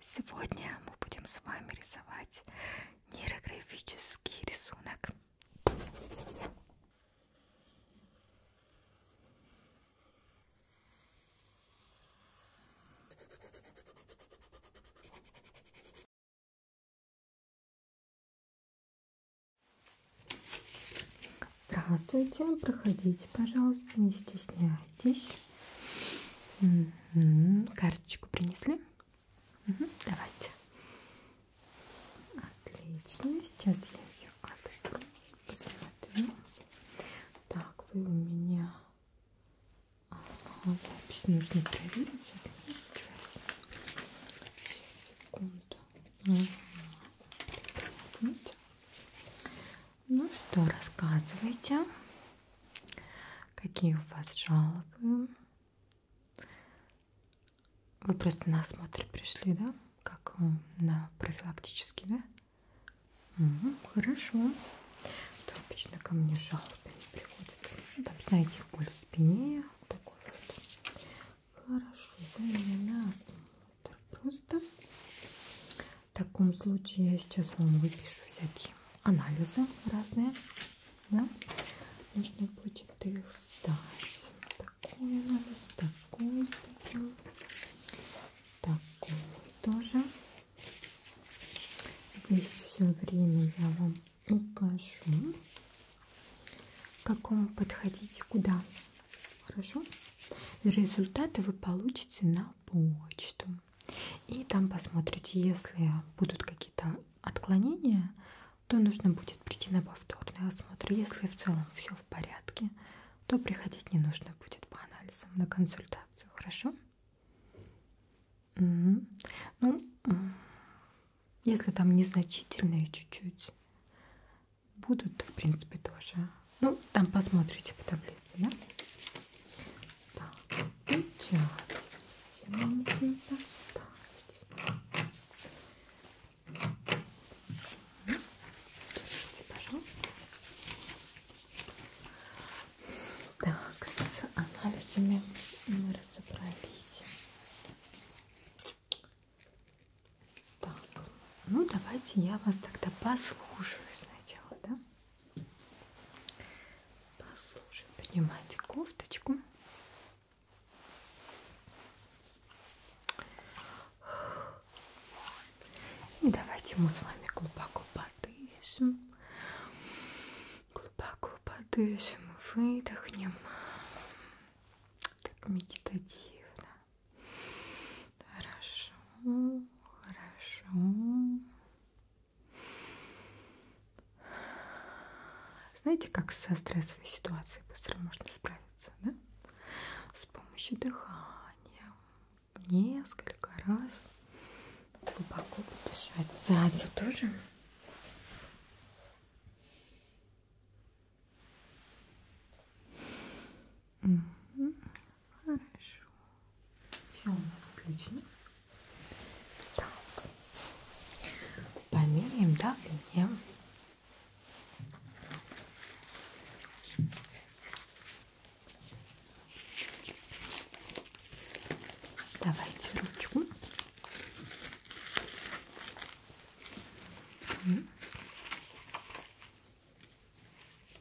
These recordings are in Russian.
Сегодня мы будем с вами рисовать нейрографический рисунок. Здравствуйте, проходите, пожалуйста, не стесняйтесь. Присаживайтесь. Угу. Карточку принесли? Угу. Давайте. Отлично. Сейчас я ее открою. Посмотрю. Так, вы у меня... Ага, запись нужно проверить. Секунду. Угу. Ну что, рассказывайте, какие у вас жалобы? Вы просто на осмотр пришли, да? Как на профилактический, да? Угу, хорошо. То обычно ко мне жалобы не приходят. Ну, там, знаете, боль в спине. Такой вот. Хорошо, вы меня на осмотр просто. В таком случае я сейчас вам выпишу всякие анализы разные. Да? Нужно будет их сдать. Такой анализ, такой сдадим. Такой тоже. Здесь все время я вам укажу, к какому подходить, куда. Хорошо? Результаты вы получите на почту. И там посмотрите, если будут какие-то отклонения, то нужно будет прийти на повторный осмотр. Если в целом все в порядке, то приходить не нужно будет по анализам на консультацию, хорошо? Угу. Ну, если там незначительные чуть-чуть будут, в принципе, тоже ну, там посмотрите по таблице, да? Так, печать. Держите, пожалуйста. Так, с анализами мы разобрались. Так, ну давайте я вас тогда послушаю сначала, да? Послушаем, поднимайте кофточку. И давайте мы с вами глубоко подышим. Глубоко подышим и выдохнем. Так медитативно. Хорошо, хорошо. Знаете, как со стрессовой ситуацией быстро можно справиться, да? С помощью дыхания. Несколько раз глубоко подышать. Сзади тоже. Угу. Хорошо. Все у нас отлично. Так. Померяем давление. Давайте ручку.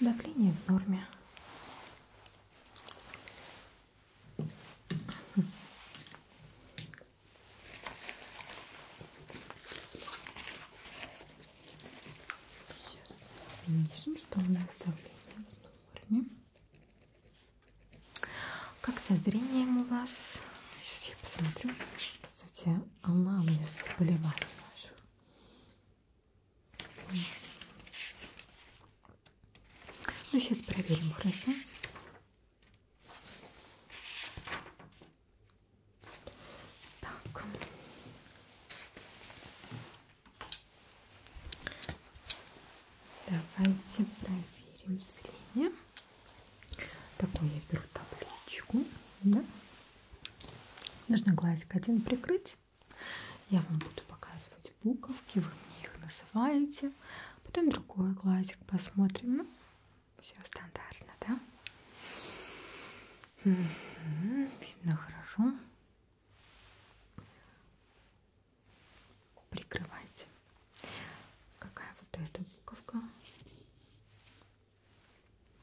Давление в норме. Сейчас видим, что у нас давление форме. Как со зрением у вас? Сейчас я посмотрю. Кстати, анамнез заболеваний наших. Ну, сейчас проверим, хорошо? Так. Давайте проверим зрение. Такой я беру табличку. Да? Нужно глазик один прикрыть. Я вам буду показывать буковки, вы мне их называете. Потом другой глазик посмотрим. Ну, все стандартно, да? Угу. Видно хорошо прикрывайте. Какая вот эта буковка?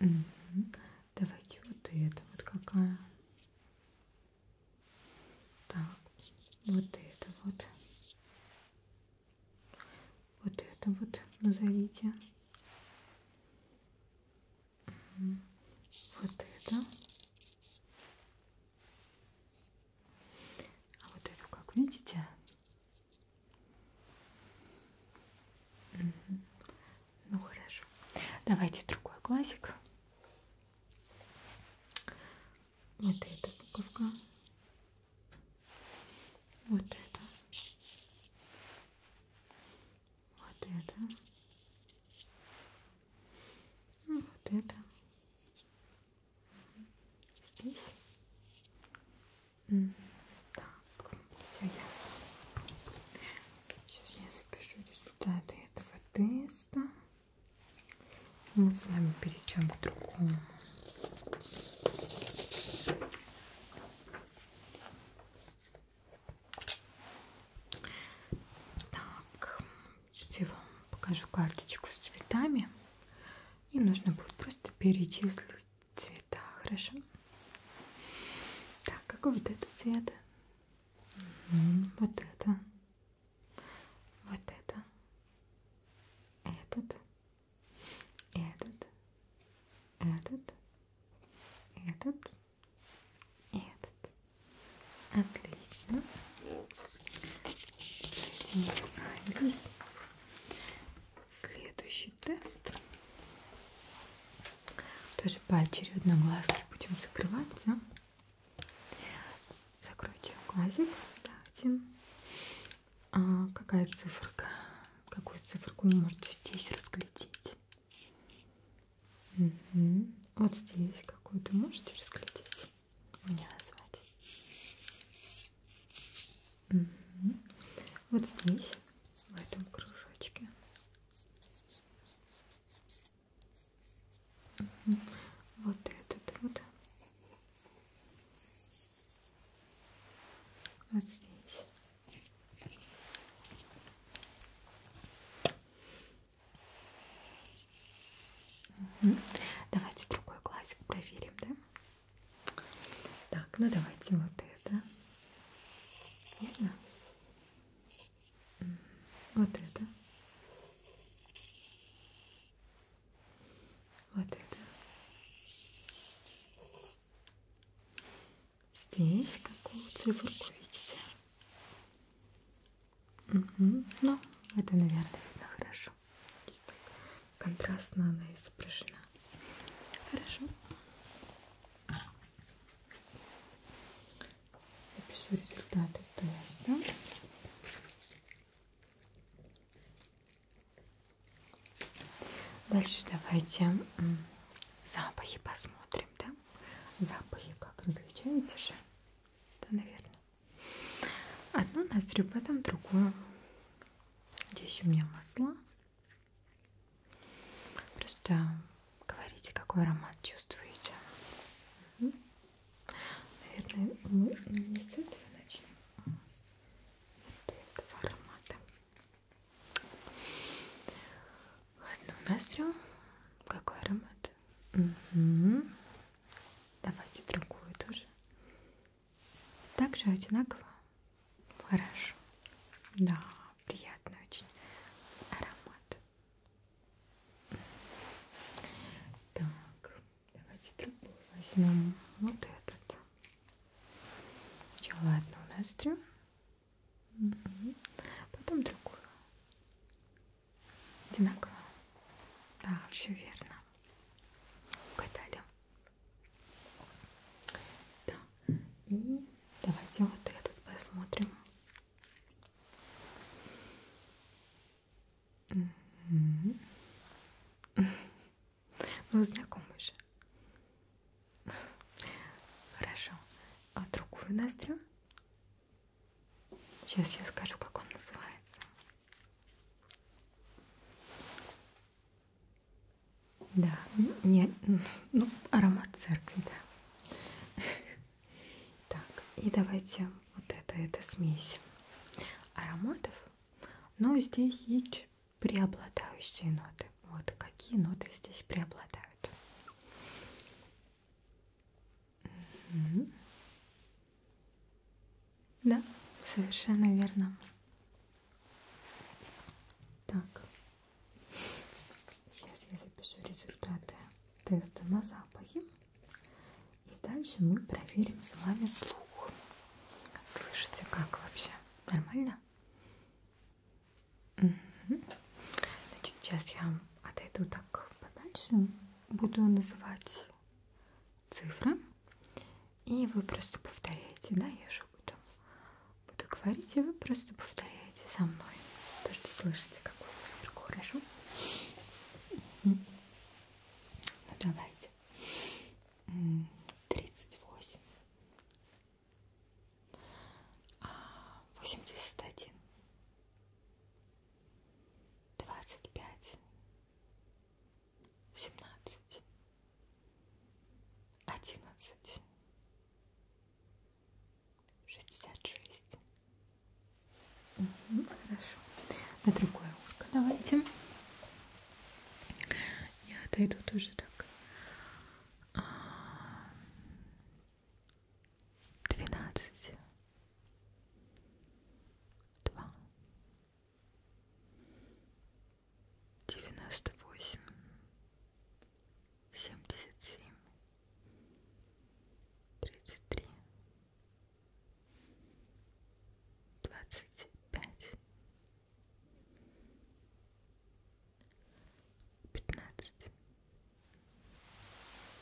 Угу. Давайте вот это вот какая. Так, вот это вот. Вот это вот назовите. Вот это. А вот эту, как видите, ну хорошо. Давайте другой классик. Вот эта буковка. Вот это вот это, ну, вот это, здесь, так, все ясно. Сейчас я запишу результаты этого теста. Мы с вами перейдем к другому. Так, сейчас я вам покажу карточку с цветами. И нужно будет просто перечислить цвета, хорошо? Так, какой вот этот цвет? Угу, вот это. Вот это. Этот. Этот. Этот. Этот. И этот. Отлично. Эти не справились. Следующий тест. Тоже поочередно глазки будем закрывать, да? Закройте глазик. Давайте. А какая циферка? Какую циферку вы можете здесь разглядеть? Угу. Вот здесь какую-то можете разглядеть? Мне назвать. Угу. Вот здесь, в этом кружочке. Угу. Вот этот вот. Вот здесь. Давайте другой глазик проверим, да? Так, ну давайте вот это. Видно? Вот это. Вот это здесь какую циферку видите? Угу. Ну, это, наверное, видно хорошо. Здесь так контрастно она изображена. Хорошо. Запишу результаты теста. Дальше давайте Запахи посмотрим, да? Запахи как различаете же? Да, наверное. Одну ноздрю, потом другую. Здесь у меня масла. Просто говорите, какой аромат чувствуете. Угу. Наверное, мы не с этого начнем. А вот этого аромата. Одну ноздрю. Какой аромат? Угу. Давайте другую тоже. Также одинаково. Хорошо. Да, приятный очень аромат. Так, давайте другую возьмем. Вот этот. Сначала одну ноздрю. Потом другую. Одинаково. Да, все верно. Угадали. Да. И давайте вот этот посмотрим. Угу. Ну, знакомый же. Хорошо. А другую ноздрю? Сейчас я скажу, как он называется. Да, не, ну, аромат церкви, да. Так, и давайте вот это, это смесь ароматов. Но здесь есть преобладающие ноты. Вот какие ноты здесь преобладают. Угу. Да, совершенно верно. Так, сейчас я запишу результаты теста на запахи. И дальше мы проверим с вами слух. Слышите, как вообще? Нормально? Угу. Значит, сейчас я отойду так подальше, буду называть цифры, и вы просто повторяете, да, я же буду, буду говорить, и вы просто повторяете за мной то, что слышите, какую циферку, хорошо? Угу. Ну, давайте. Тридцать восемь, а, восемьдесят один, двадцать пять, семнадцать, одиннадцать, шестьдесят шесть. Хорошо. На другое ушко давайте. Я отойду тоже так. А, двенадцать. Два. Девяносто восемь. Семьдесят семь. Тридцать три. Двадцать пять. Пятнадцать.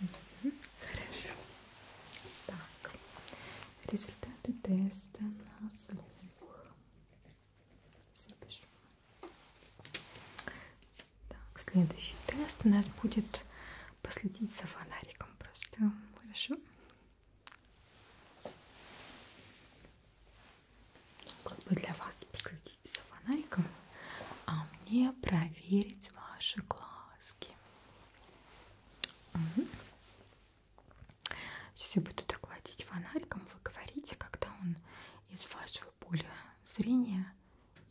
Угу. Хорошо. Так, результаты теста на слух. Запишу. Так, следующий тест у нас будет последить за фонариком просто. Хорошо? Как бы для вас последить за фонариком, а мне проверить ваши глазки. Угу. Сейчас я буду так водить фонариком, вы говорите, когда он из вашего поля зрения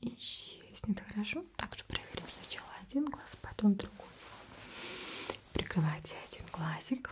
исчезнет. Хорошо? Также проверим сначала один глаз, потом другой. Прикрывайте один глазик.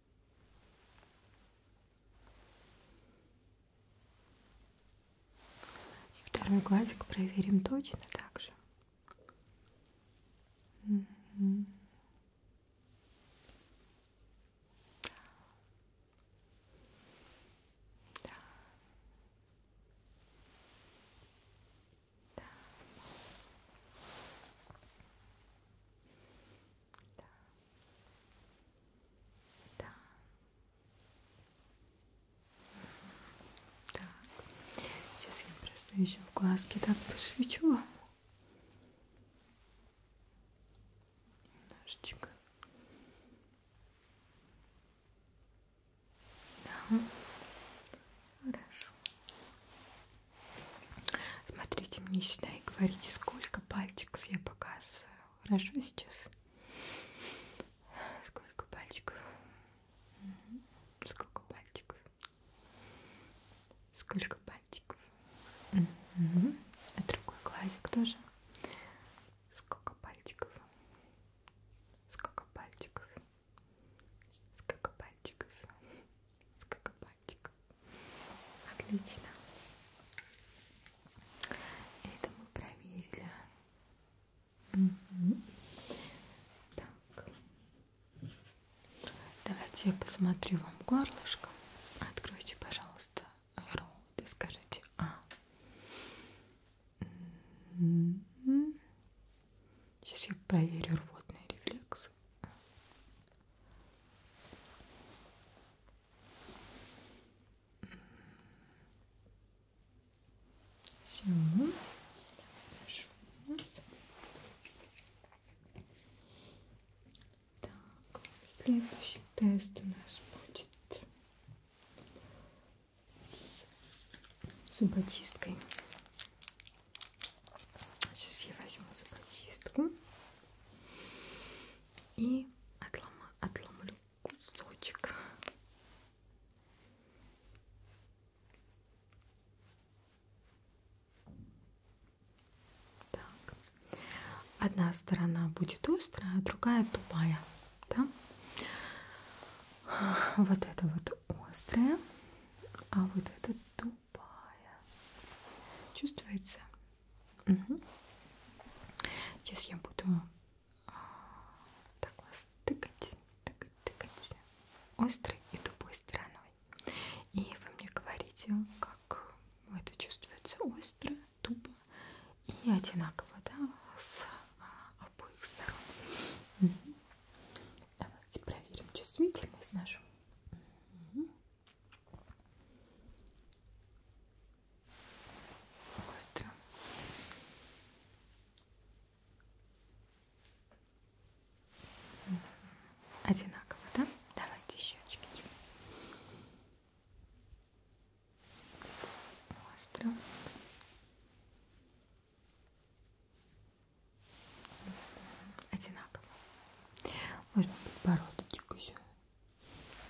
И второй глазик проверим точно так же. Угу. Да. Да. Да. Да. Так. Сейчас я просто еще в глазки так посвечу вам. Немножечко. Да. Хорошо. Смотрите мне сюда и говорите, сколько сколько пальчиков я показываю. Хорошо сейчас? Сколько пальчиков? Угу. Сколько пальчиков? Сколько пальчиков? Угу. А другой глазик тоже. Сколько пальчиков? Сколько пальчиков? Сколько пальчиков? Сколько пальчиков? мальчик. Отлично. Это мы проверили. Угу. Так. Давайте я посмотрю вам горлышко. Откройте, пожалуйста, рот и скажите А. Сейчас я проверю рвотный рефлекс. Все. Хорошо. Так, следующий тест у нас будет с зубочисткой. Сейчас я возьму зубочистку и отлома, отломлю кусочек. Так. Одна сторона будет острая, а другая тупая. Да? Вот это вот острая, а вот это тупая голубая. Чувствуется? Угу. Сейчас я буду а, так вас тыкать, тыкать, тыкать острой и тупой стороной. И вы мне говорите, как это чувствуется остро, тупо и одинаково, да, с а, обоих сторон. Угу. Давайте проверим чувствительность нашу. Угу. Остро. Одинаково, да? Давайте щечки. Остро одинаково. Можно подбородочку еще.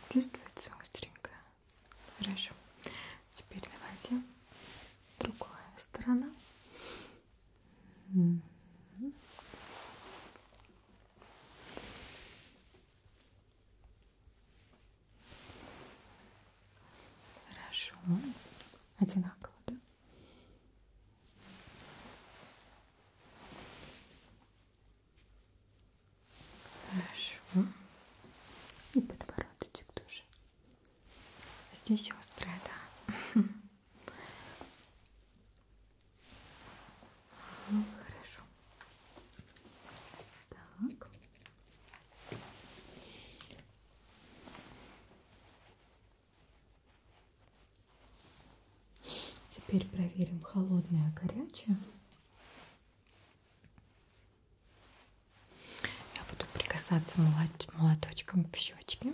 Чувствуется остренько. Хорошо. Теперь давайте другая сторона. Хорошо. Одинаково, да? Хорошо. И подбородочек тоже. Здесь острая, да. Ну, хорошо. Так. Теперь проверим холодное, горячее. Я буду прикасаться молоточком к щечке.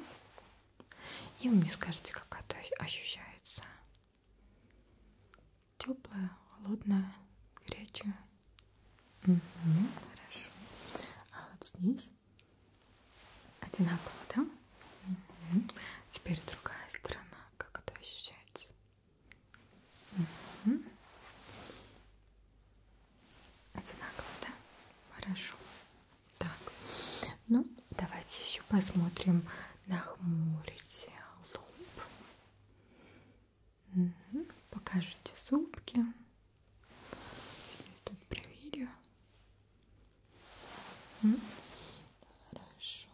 И вы мне скажете, как это ощущается. Теплое, холодное, горячее. Угу, хорошо. А вот здесь Одинаково, да? Угу. Теперь другая сторона. Как это ощущается? Угу. Одинаково, да? Хорошо. Так, ну давайте еще посмотрим. Нахмурите лоб. Угу. Покажите зубки. Все тут проверю. М? Хорошо,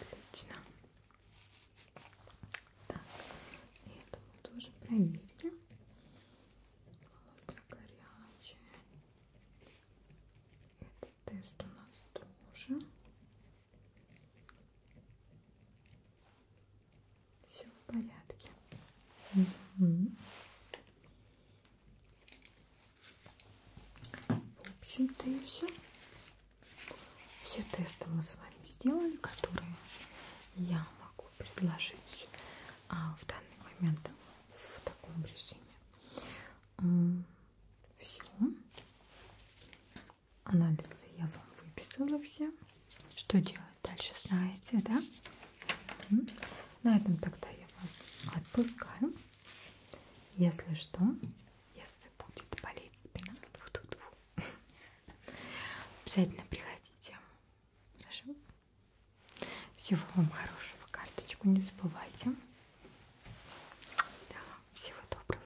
отлично. Так, этому тоже проверили. Молоко горячее. Этот тест у нас тоже. Все в порядке. Угу. В общем-то и все. Все тесты мы с вами сделали, которые я могу предложить а, в данный момент в таком режиме. Все. Анализы я вам выписала все. Что делать дальше, знаете, да? На этом тогда я вас отпускаю. Если что, если будет болеть спина, тьфу -тьфу -тьфу. обязательно приходите. Хорошо? Всего вам хорошего, карточку не забывайте. Да, всего доброго.